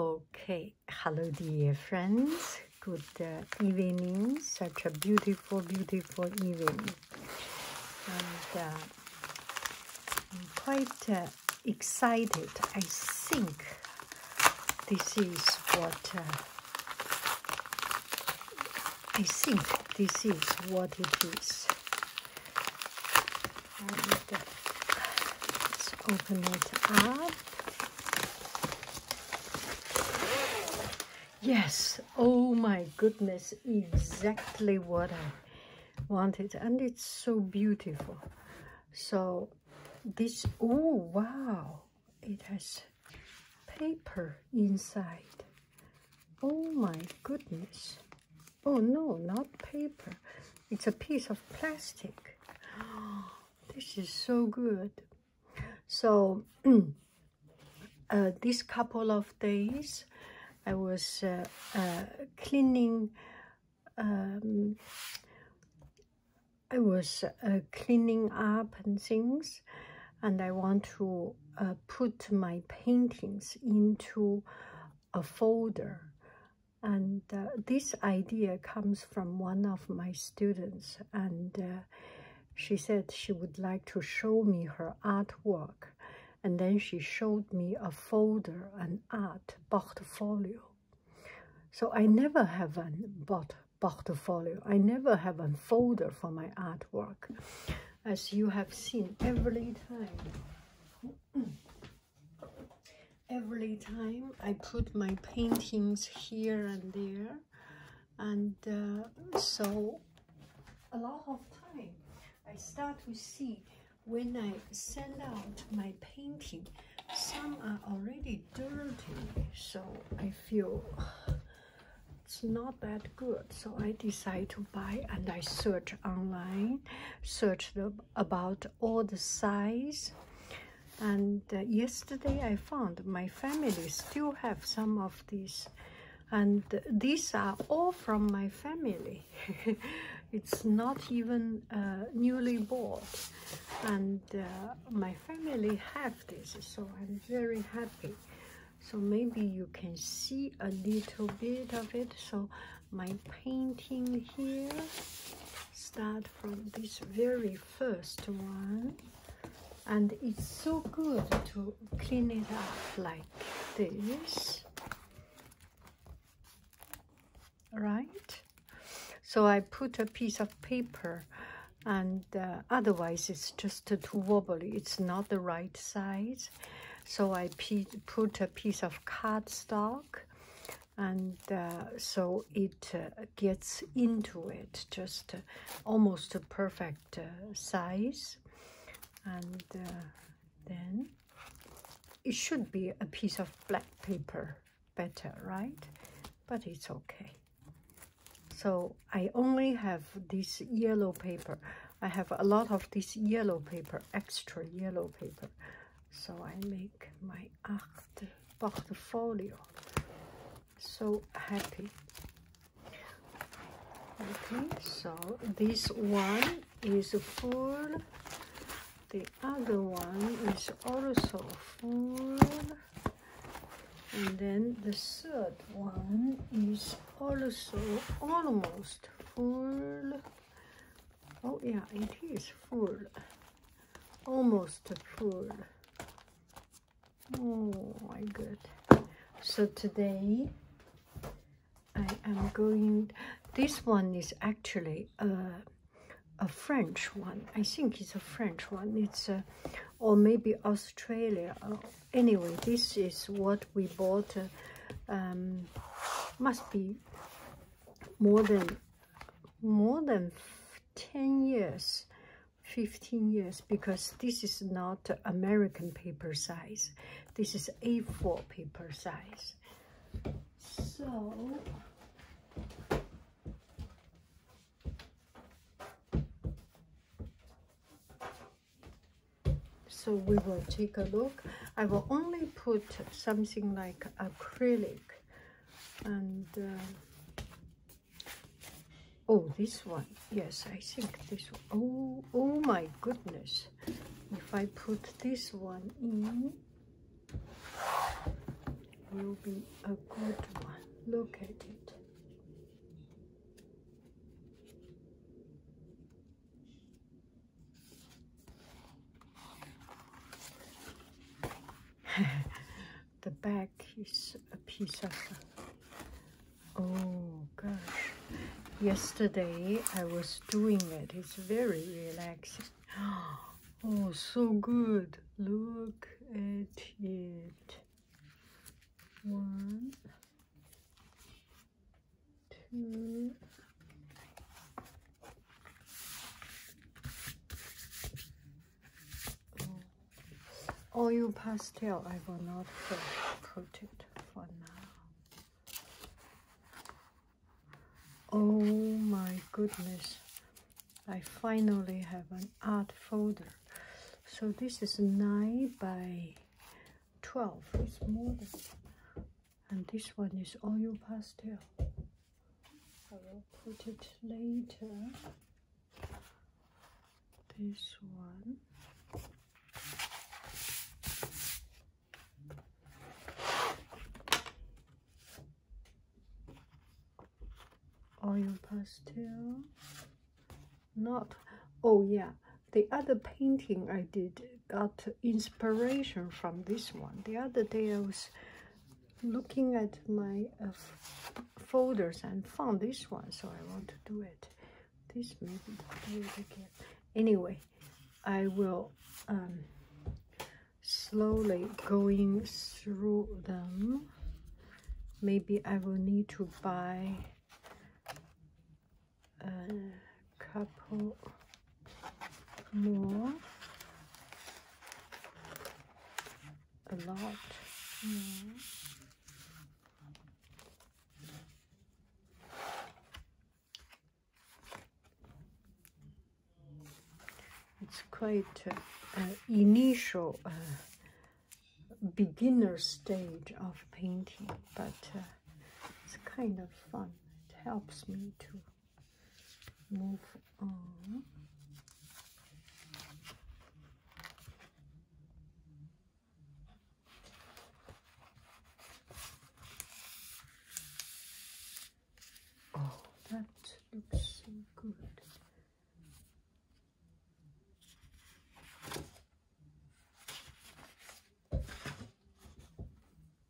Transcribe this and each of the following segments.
Okay, hello, dear friends. Good uh, evening. Such a beautiful, beautiful evening. Uh, I'm quite uh, excited. I think this is what I think this is what it is let's open it up. Yes, oh my goodness, exactly what I wanted. And it's so beautiful. So this, oh wow, it has paper inside. Oh my goodness. Oh no, not paper. It's a piece of plastic. This is so good. So, these uh, couple of days, I was uh, uh, cleaning. Um, I was cleaning up and things, and I want to put my paintings into a folder and uh, this idea comes from one of my students, and uh, she said she would like to show me her artwork. And then she showed me a folder, an art portfolio. So I never have a portfolio. I never have a folder for my artwork, as you have seen every time every time I put my paintings here and there and uh, so a lot of time I start to see when I send out my painting some are already dirty so I feel it's not that good so I decide to buy and I search online search about all the size and uh, yesterday I found my family still have some of these and these are all from my family it's not even uh, newly bought and uh, my family have this so I'm very happy so maybe you can see a little bit of it so my painting here start from this very first one and it's so good to clean it up like this right so i put a piece of paper and uh, otherwise it's just too wobbly it's not the right size so i put a piece of cardstock and uh, so it uh, gets into it just uh, almost a perfect size and then it should be a piece of black paper better right but it's okay so i only have this yellow paper i have a lot of this yellow paper extra yellow paper so i make my acht portfolio. So happy. Okay, so this one is full. The other one is also full. And then the third one is also almost full. Oh yeah, it is full almost full. Oh my god. So today I am going, this one is actually a, a French one. I think it's a French one. It's a, uh, or maybe Australia. Oh, anyway, this is what we bought. Uh, um, must be more than more than 10 years 15 years because this is not American paper size this is A4 paper size so so we will take a look I will only put something like acrylic and uh, oh this one yes I think this one. oh oh my goodness if I put this one in it will be a good one look at it the back is a piece of oh gosh yesterday i was doing it it's very relaxing oh so good look at it one two Oil pastel, I will not put it for now. Oh my goodness, I finally have an art folder. So this is 9 by 12, it's more than and this one is oil pastel. I will put it later. This one. Oil pastel. Not, oh yeah, the other painting I did got inspiration from this one. The other day I was looking at my uh, folders and found this one, so I want to do it. This maybe do it again. Anyway, I will um, slowly going through them. Maybe I will need to buy a couple more a lot It's quite uh, initial beginner stage of painting, but uh, it's kind of fun. It helps me to move on. Oh, that looks so good.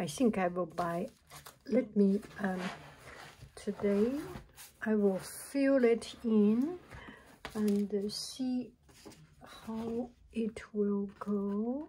I think I will buy let me um, today I will fill it in and uh, see how it will go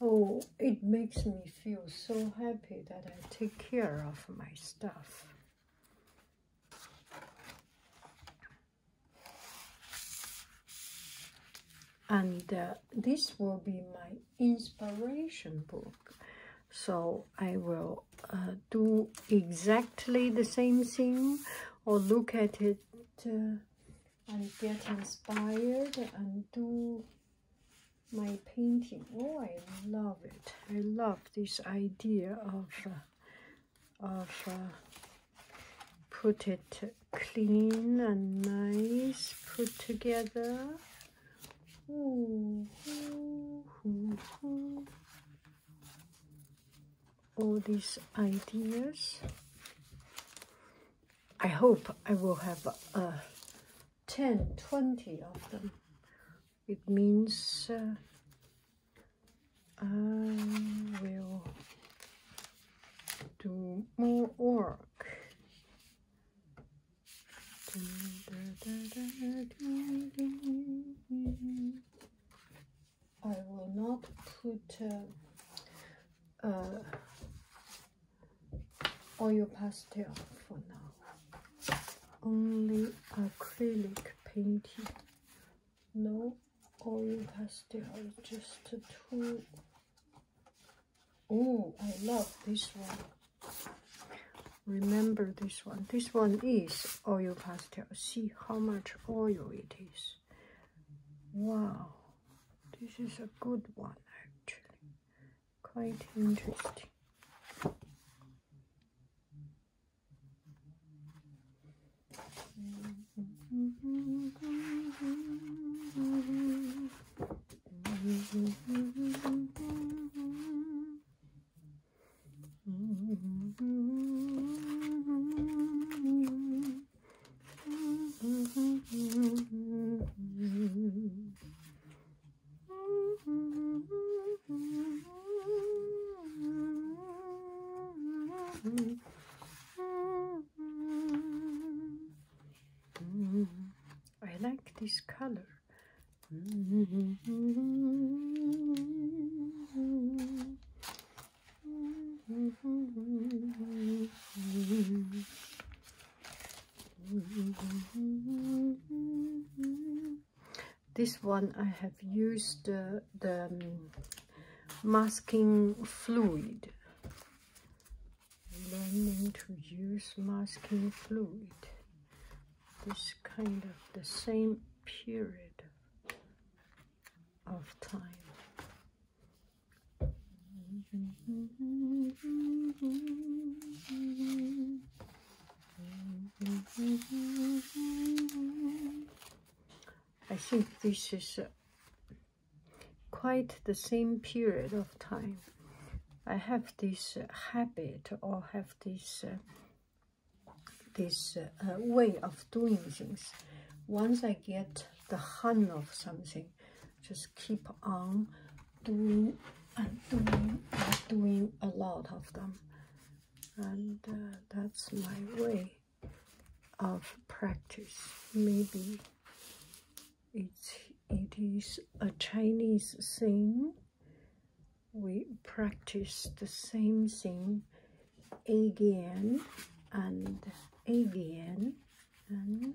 Oh, it makes me feel so happy that I take care of my stuff. And uh, this will be my inspiration book. So I will uh, do exactly the same thing or look at it uh, and get inspired and do my painting. Oh, I love it. I love this idea of, uh, of uh, put it clean and nice, put together. All these ideas I hope I will have uh, 10, 20 of them. It means uh, I will do more work. I will not put uh, uh, oil pastel for now. Only acrylic painting. No oil pastel, just two. Oh, I love this one. Remember this one. This one is oil pastel. See how much oil it is. Wow. This is a good one actually. Quite interesting. I like this color. This one I have used uh, the um, masking fluid. Learning to use masking fluid. This kind of the same period of time. I think this is uh, quite the same period of time. I have this uh, habit or have this uh, this way of doing things. Once I get the hang of something, just keep on doing and doing and doing a lot of them. And uh, that's my way of practice. Maybe it's, it is a Chinese thing. We practice the same thing again and again and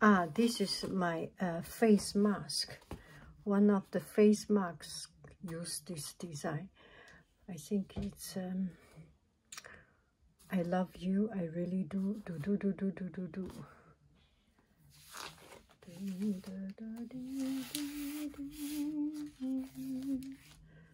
Ah, this is my uh, face mask. One of the face masks use this design. I think it's um, I love you. I really do. Do do do do do do do.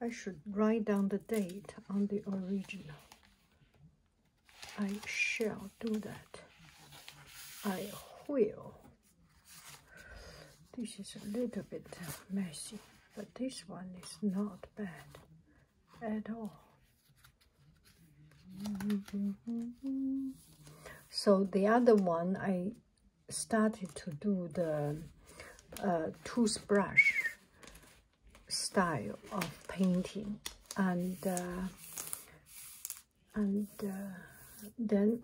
I should write down the date on the original. I shall do that. I will. This is a little bit messy, but this one is not bad at all. So the other one, I started to do the uh, toothbrush style of painting and uh, and uh, then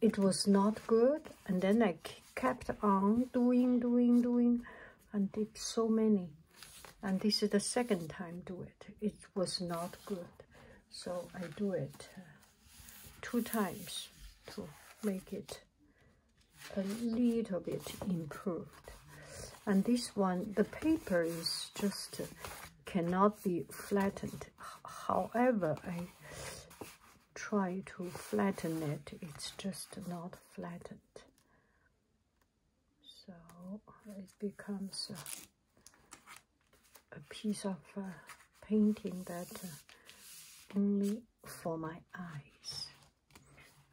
it was not good and then I kept on doing doing doing and did so many and this is the second time do it it was not good so I do it uh, two times to make it a little bit improved and this one the paper is just cannot be flattened however i try to flatten it it's just not flattened so it becomes a piece of uh, painting that uh, only for my eyes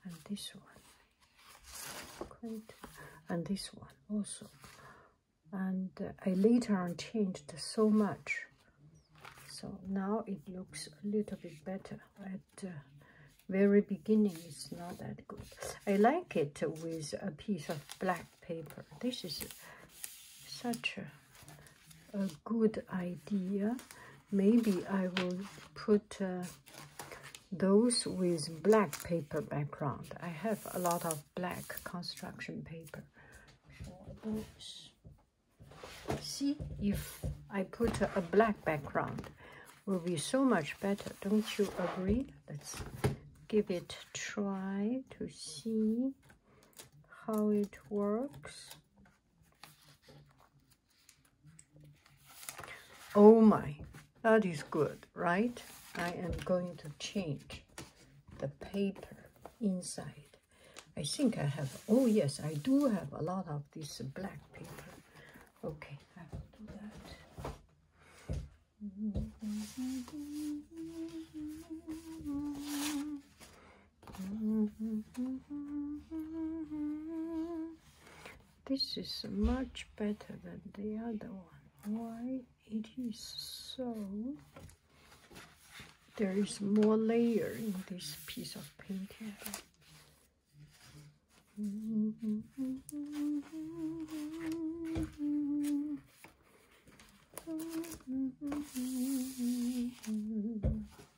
and this one and this one also and I uh, later on changed so much so now it looks a little bit better at uh, very beginning it's not that good I like it with a piece of black paper this is such a good idea maybe I will put uh, those with black paper background. I have a lot of black construction paper See, if I put a black background, will be so much better. Don't you agree? Let's give it try to see how it works. Oh my, that is good, right? I am going to change the paper inside. I think I have, oh yes, I do have a lot of this black paper. Okay, I will do that. This is much better than the other one. Why? It is so. There is more layer in this piece of painting.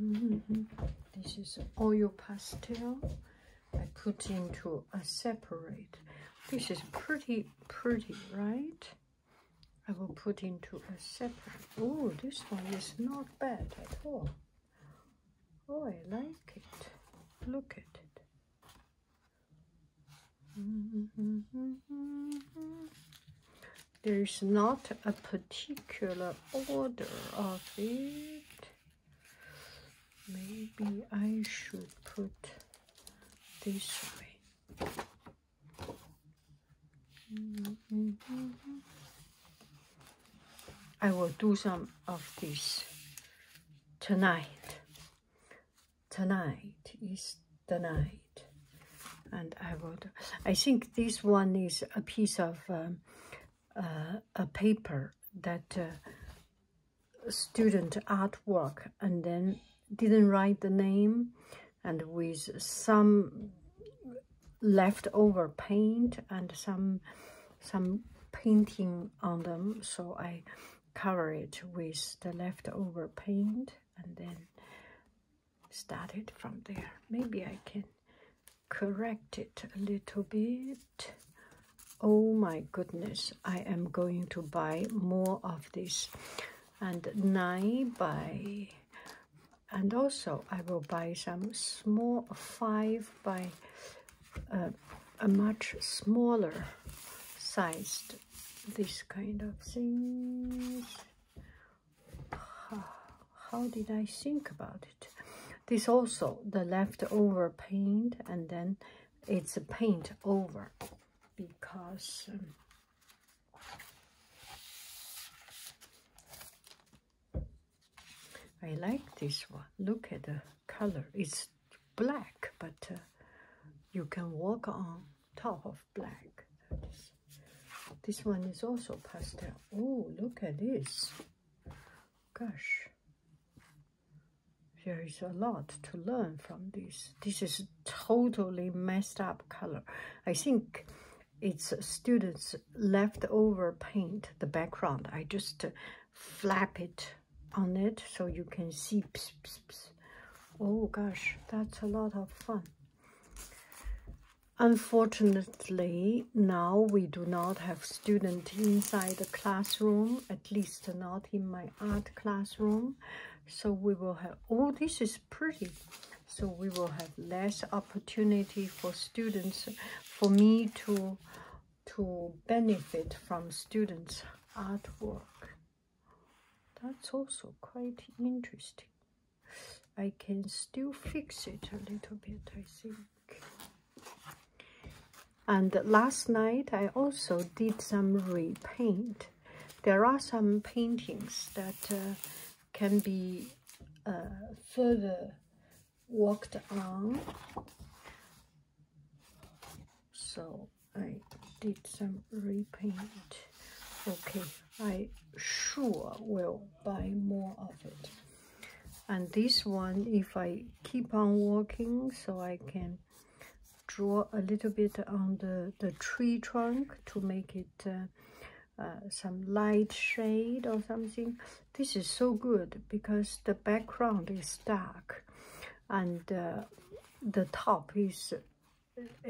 Mm-hmm. This is oil pastel. I put into a separate. This is pretty, pretty, right? I will put into a separate. Oh, this one is not bad at all. Oh, I like it. Look at it. Mm-hmm there's not a particular order of it. Maybe I should put this way. I will do some of this tonight. Tonight is the night. And I will I think this one is a piece of um, uh, a paper that uh, student artwork and then didn't write the name and with some leftover paint and some some painting on them so I cover it with the leftover paint and then started from there. Maybe I can correct it a little bit. Oh my goodness, I am going to buy more of this. And 9 by, and also I will buy some small 5 by uh, a much smaller sized, this kind of things. how did I think about it? This also the leftover paint and then it's a paint over because um, I like this one. Look at the color. It's black, but uh, you can walk on top of black this. one is also pastel. Oh, look at this. Gosh. There is a lot to learn from this. This is totally messed up color. I think it's students' left over paint, the background. I just uh, flap it on it so you can see. Pss, Oh gosh, that's a lot of fun. Unfortunately, now we do not have students inside the classroom, at least not in my art classroom. So we will have, oh, this is pretty. So we will have less opportunity for students, for me to, to benefit from students' artwork. That's also quite interesting. I can still fix it a little bit, I think. And last night, I also did some repaint. There are some paintings that uh, can be uh, further worked on. So I did some repaint. Okay, I sure will buy more of it. And this one, if I keep on working, so I can draw a little bit on the, the tree trunk to make it uh, uh, some light shade or something. This is so good because the background is dark and uh, the top is,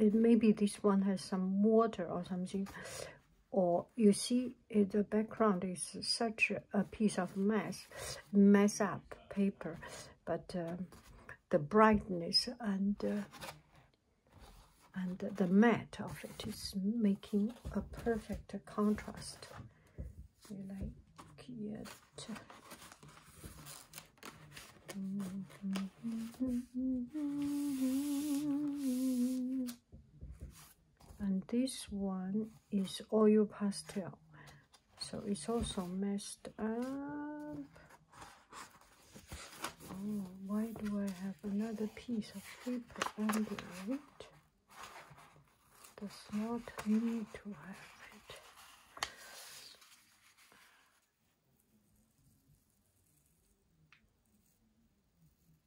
maybe this one has some water or something or you see eh, the background is such a piece of mess, mess up paper, but uh, the brightness and uh, and the matte of it is making a perfect contrast and this one is oil pastel so it's also messed up oh why do i have another piece of paper under it does not need to have it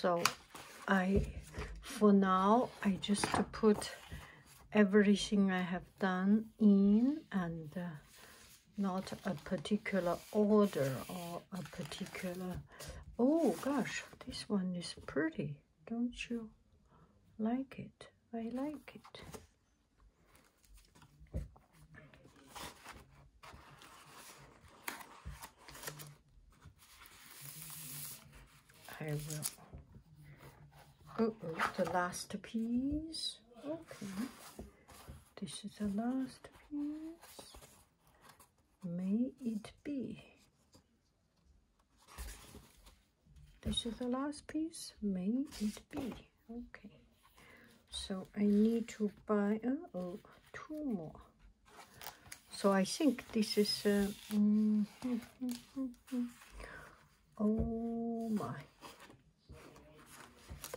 so I for now I just put everything I have done in and uh, not a particular order or a particular oh gosh this one is pretty don't you like it i like it i will oh the last piece okay this is the last piece. May it be. This is the last piece. May it be. Okay. So I need to buy uh, oh, two more. So I think this is... Uh, mm-hmm, mm-hmm, mm-hmm. oh my. This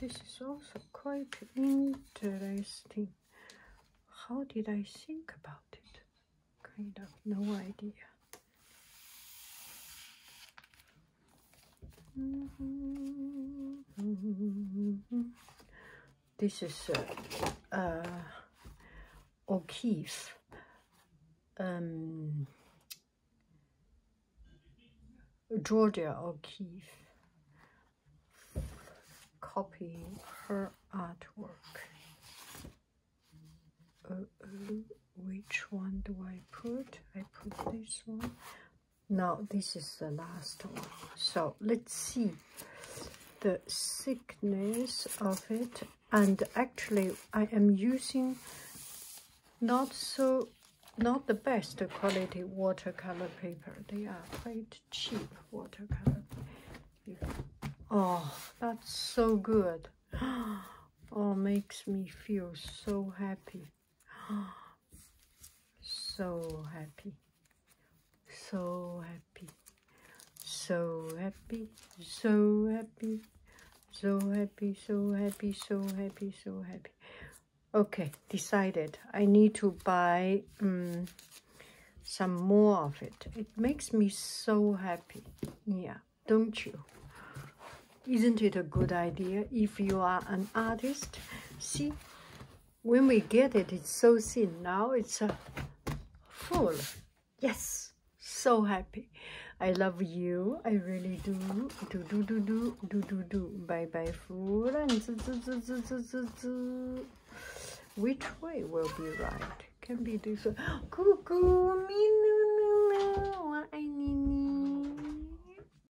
is also quite interesting. How did I think about it? Kind of no idea. This is uh, uh, O'Keefe. Um, Georgia O'Keefe. copy her artwork. Uh, which one do I put? I put this one now this is the last one so let's see the thickness of it and actually I am using not so not the best quality watercolor paper they are quite cheap watercolor oh that's so good oh makes me feel so happy so happy so happy so happy so happy so happy so happy so happy so happy okay decided i need to buy um, some more of it it makes me so happy yeah don't you isn't it a good idea if you are an artist See, when we get it, it's so thin. Now it's uh, full. Yes, so happy. I love you. I really do. Do do do do do do do. Bye bye, food. And zoo, zoo, zoo, zoo, zoo, zoo. Which way will be right? Can be this. Cuckoo, me no no no. I need.